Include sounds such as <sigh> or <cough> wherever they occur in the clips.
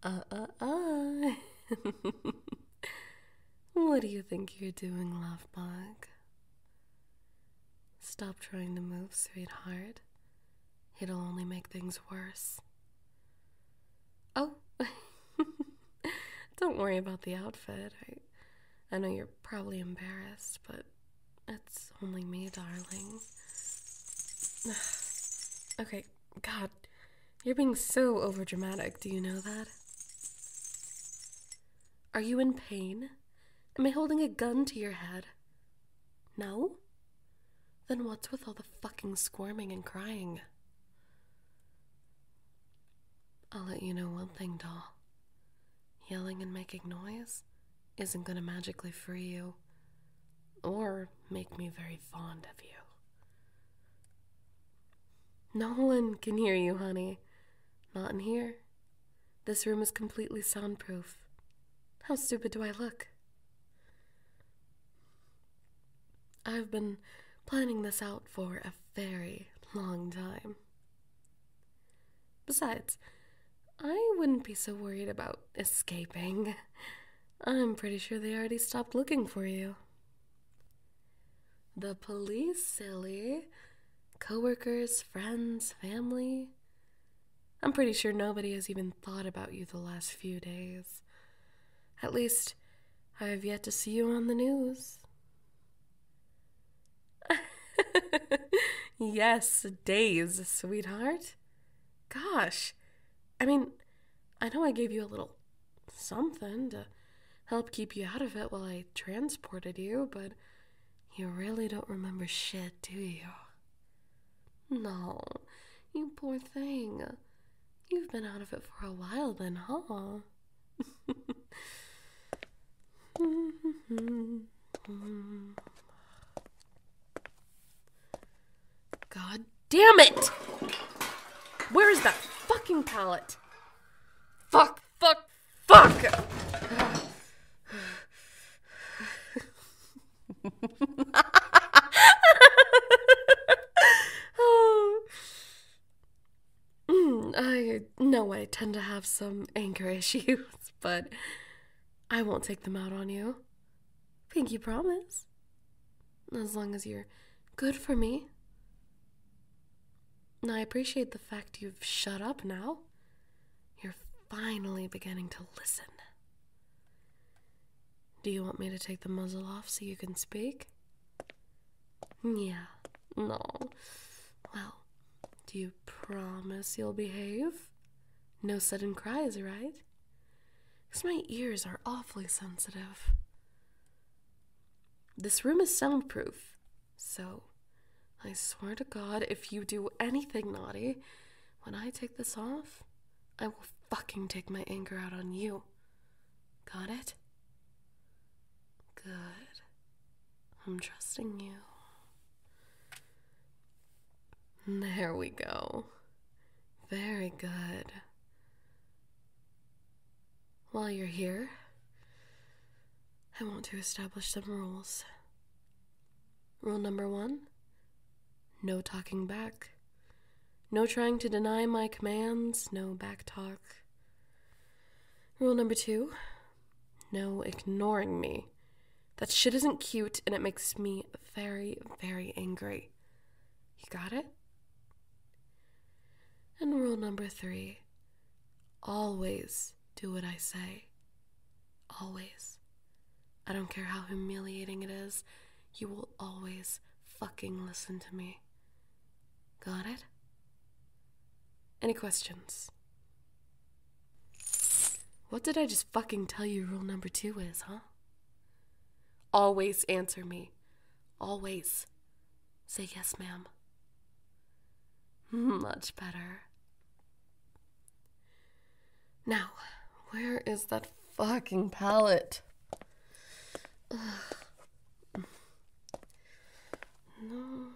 Uh uh uh. <laughs> what do you think you're doing, Lovebug? Stop trying to move, sweetheart. It'll only make things worse. Oh, <laughs> don't worry about the outfit. I, I know you're probably embarrassed, but it's only me, darling. <sighs> okay, God, you're being so overdramatic. Do you know that? Are you in pain? Am I holding a gun to your head? No? Then what's with all the fucking squirming and crying? I'll let you know one thing, doll. Yelling and making noise isn't going to magically free you or make me very fond of you. No one can hear you, honey. Not in here. This room is completely soundproof. How stupid do I look? I've been planning this out for a very long time. Besides, I wouldn't be so worried about escaping. I'm pretty sure they already stopped looking for you. The police, silly. Coworkers, friends, family. I'm pretty sure nobody has even thought about you the last few days. At least, I have yet to see you on the news. <laughs> yes, days, sweetheart. Gosh, I mean, I know I gave you a little something to help keep you out of it while I transported you, but you really don't remember shit, do you? No, you poor thing. You've been out of it for a while then, huh? <laughs> Mm. God damn it! Where is that fucking pallet? Fuck, fuck, fuck! <laughs> <laughs> Mm, I know I tend to have some anger <laughs> issues, but I won't take them out on you. Think you promise. As long as you're good for me. I appreciate the fact you've shut up now. You're finally beginning to listen. Do you want me to take the muzzle off so you can speak? Yeah. No. Well, do you promise you'll behave? No sudden cries, right? Because my ears are awfully sensitive. This room is soundproof, so I swear to God, if you do anything naughty, when I take this off, I will fucking take my anger out on you. Got it? Good. I'm trusting you. There we go. Very good. While you're here, I want to establish some rules. Rule number one no talking back, no trying to deny my commands, no back talk. Rule number two no ignoring me. That shit isn't cute and it makes me very, very angry. You got it? And rule number three always do what I say. Always. I don't care how humiliating it is, you will always fucking listen to me. Got it? Any questions? What did I just fucking tell you rule number two is, huh? Always answer me. Always. Say yes, ma'am. <laughs> Much better. Now, where is that fucking palette? <sighs> Mm. No.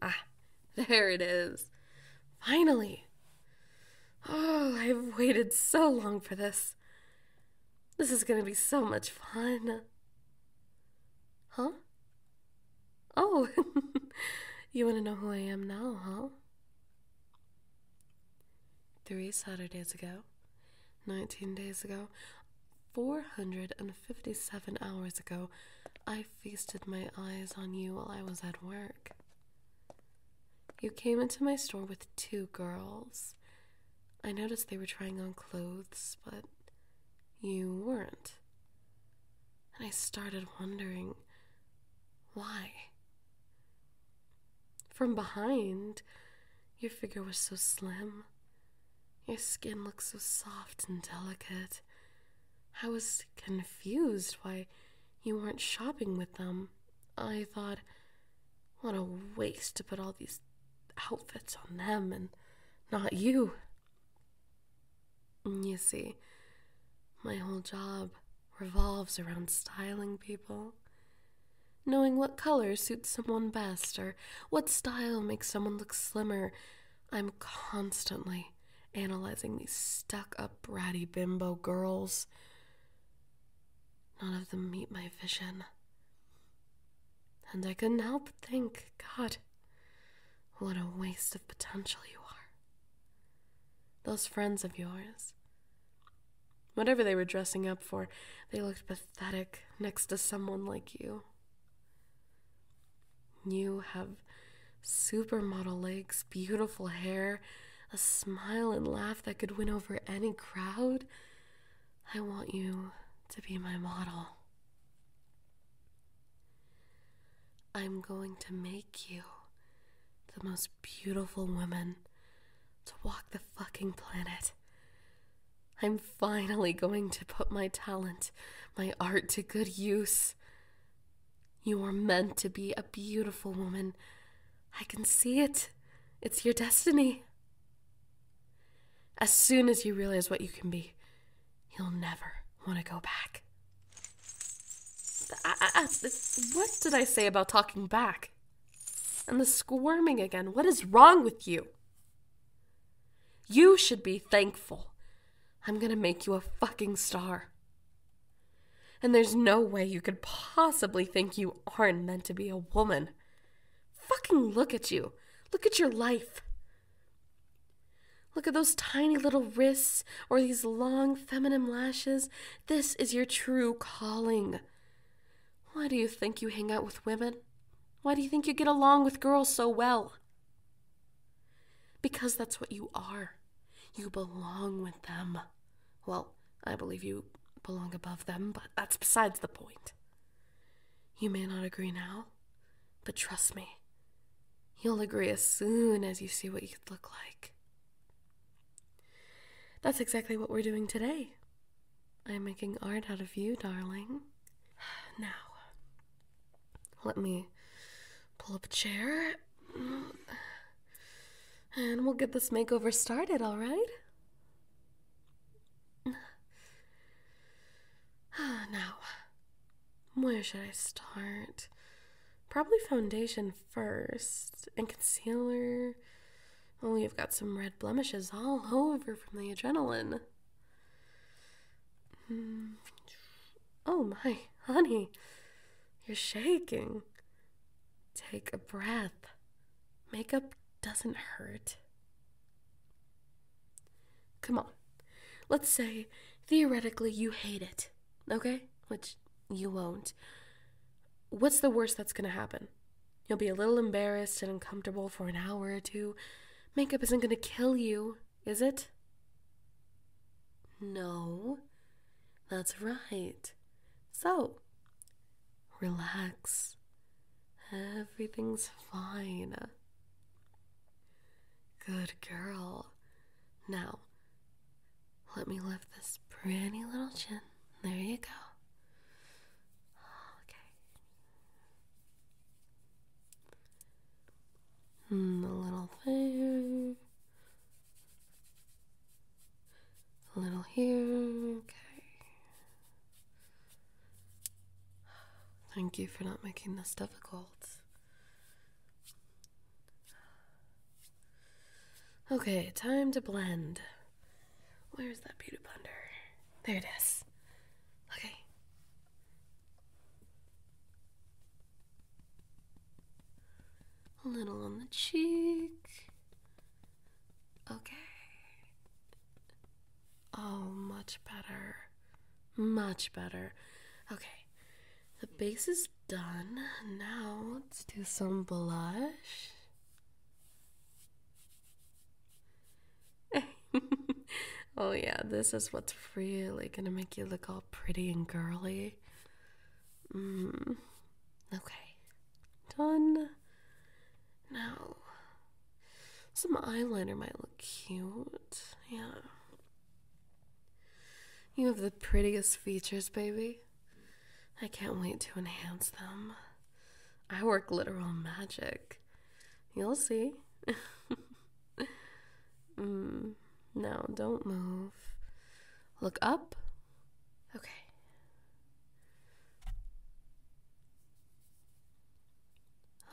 Ah, <laughs> there it is. Finally. Oh, I've waited so long for this. This is going to be so much fun. Huh? Oh, <laughs> you want to know who I am now, huh? Three Saturdays ago, 19 days ago, 457 hours ago, I feasted my eyes on you while I was at work. You came into my store with two girls. I noticed they were trying on clothes, but you weren't. And I started wondering why. From behind, your figure was so slim, your skin looks so soft and delicate. I was confused why you weren't shopping with them. I thought, what a waste to put all these outfits on them and not you. You see, my whole job revolves around styling people. Knowing what color suits someone best or what style makes someone look slimmer I'm constantly analyzing these stuck up bratty bimbo girls. None of them meet my vision. And I couldn't help but think, God, what a waste of potential you are. Those friends of yours. Whatever they were dressing up for, they looked pathetic next to someone like you. You have supermodel legs, beautiful hair, a smile and laugh that could win over any crowd. I want you to be my model. I'm going to make you the most beautiful woman to walk the fucking planet. I'm finally going to put my talent, my art to good use. You were meant to be a beautiful woman. I can see it. It's your destiny. As soon as you realize what you can be, you'll never want to go back. what did I say about talking back? And the squirming again. What is wrong with you? You should be thankful. I'm gonna make you a fucking star. And there's no way you could possibly think you aren't meant to be a woman. Fucking look at you. Look at your life. Look at those tiny little wrists or these long feminine lashes. This is your true calling. Why do you think you hang out with women? Why do you think you get along with girls so well? Because that's what you are. You belong with them. Well, I believe you belong above them, but that's besides the point. You may not agree now, but trust me, you'll agree as soon as you see what you would look like. That's exactly what we're doing today. I'm making art out of you, darling. <sighs> Now, let me pull up a chair. Mm, and we'll get this makeover started, all right? <sighs> Now, where should I start? Probably foundation first, and concealer. Oh, you've got some red blemishes all <laughs> over from the adrenaline. Hmm. Oh my, honey, you're shaking. Take a breath. Makeup doesn't hurt. Come on. Let's say theoretically you hate it, okay? Which you won't. What's the worst that's gonna happen? You'll be a little embarrassed and uncomfortable for an hour or two, Makeup isn't gonna kill you, is it? No, that's right. So, relax. Everything's fine. Good girl. Now, let me lift this pretty little chin. There you go. Okay, Hmm, a little there. A little here. Okay. Thank you for not making this difficult. Okay, time to blend. Where's that beauty blender? There it is. Okay. A little on the cheek. Okay. Oh, much better. Much better. Okay. The base is done. Now let's do some blush. <laughs> oh, yeah, this is what's really gonna make you look all pretty and girly. Mm. Okay, done. Now, some eyeliner might look cute. Yeah. You have the prettiest features, baby. I can't wait to enhance them. I work literal magic. You'll see. <laughs> Mm, no, don't move. Look up. Okay.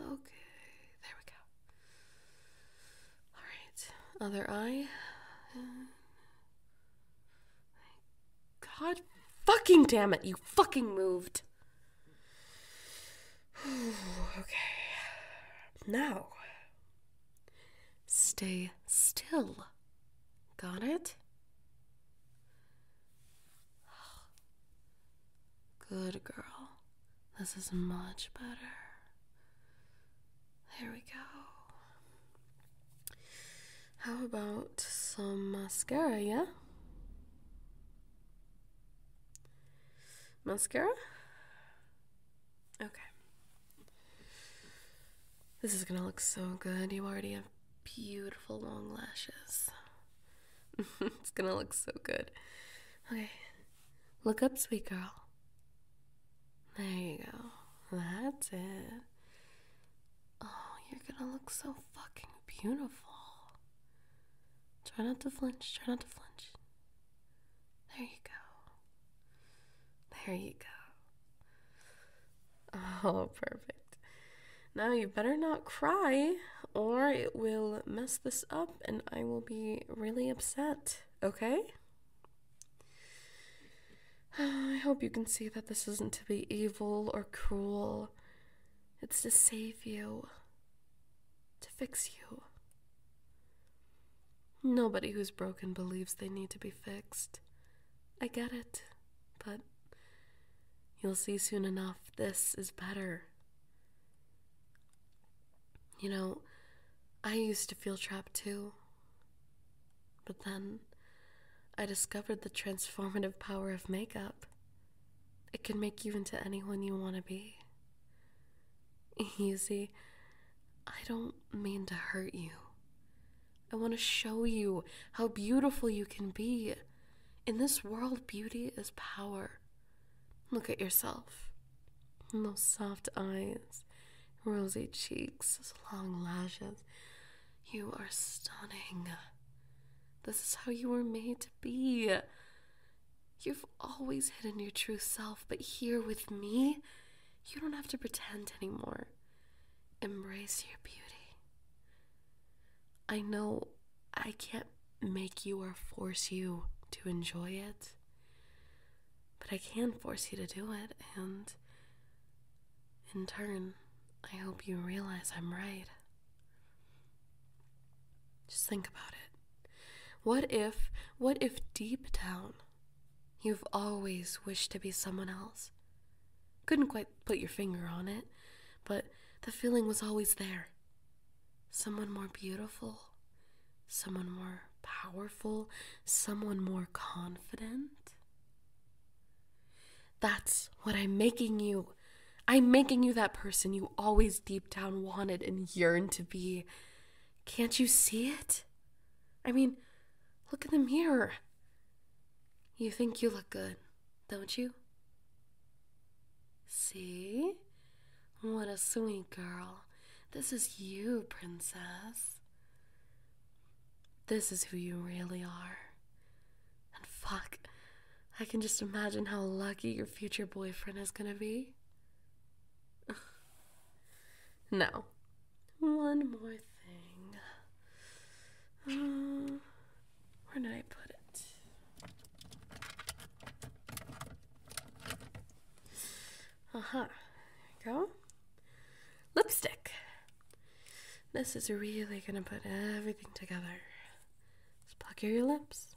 Okay, there we go. All right, other eye. <sighs> God fucking damn it, you fucking moved. <sighs> okay. Now, stay still. Got it? <sighs> Good girl. This is much better. There we go. How about some mascara, yeah? Mascara? Okay. This is gonna look so good. You already have beautiful long lashes. <laughs> it's gonna look so good. Okay. Look up, sweet girl. There you go. That's it. Oh, you're gonna look so fucking beautiful. Try not to flinch, try not to flinch. There you go. There you go. <laughs> Oh, perfect. Now you better not cry, or it will mess this up and I will be really upset, okay? <sighs> I hope you can see that this isn't to be evil or cruel. It's to save you, to fix you. Nobody who's broken believes they need to be fixed. I get it, but you'll see soon enough this is better. You know, I used to feel trapped too. But then I discovered the transformative power of makeup. It can make you into anyone you want to be. <laughs> You I don't mean to hurt you. I want to show you how beautiful you can be. In this world, beauty is power. Look at yourself. those soft eyes, rosy cheeks, those long lashes. You are stunning. This is how you were made to be. You've always hidden your true self, but here with me, you don't have to pretend anymore. Embrace your beauty. I know I can't make you or force you to enjoy it, but I can force you to do it, and in turn, I hope you realize I'm right. Just think about it. What if, what if deep down, you've always wished to be someone else? Couldn't quite put your finger on it, but the feeling was always there. Someone more beautiful, someone more powerful, someone more confident. That's what I'm making you. I'm making you that person you always deep down wanted and yearned to be. Can't you see it? I mean, look in the mirror. You think you look good, don't you? See? What a sweet girl. This is you, princess. This is who you really are. And fuck, I can just imagine how lucky your future boyfriend is gonna be. <laughs> No. one more thing. Uh, where did I put it? Uh huh. There we go. Lipstick. This is really gonna put everything together. Just pucker your lips.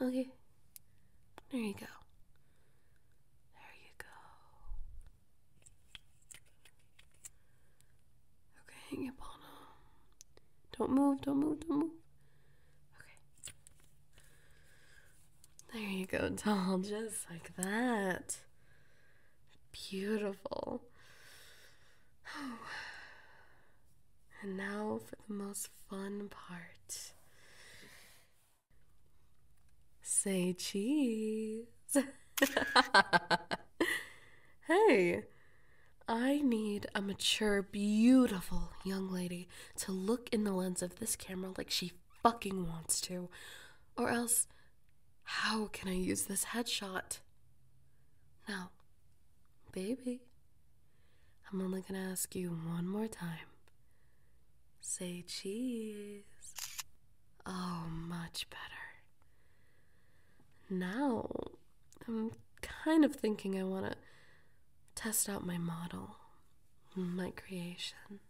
Okay. There you go. There you go. Okay, hang up on Don't move, don't move, don't move. Okay. There you go, doll. <laughs> Just like that. Beautiful. And now for the most fun part. Say cheese. <laughs> hey, I need a mature, beautiful young lady to look in the lens of this camera like she fucking wants to. Or else, how can I use this headshot? Now, baby, I'm only gonna ask you one more time. Say cheese. Oh, much better. Now, I'm kind of thinking I wanna test out my model, my creation.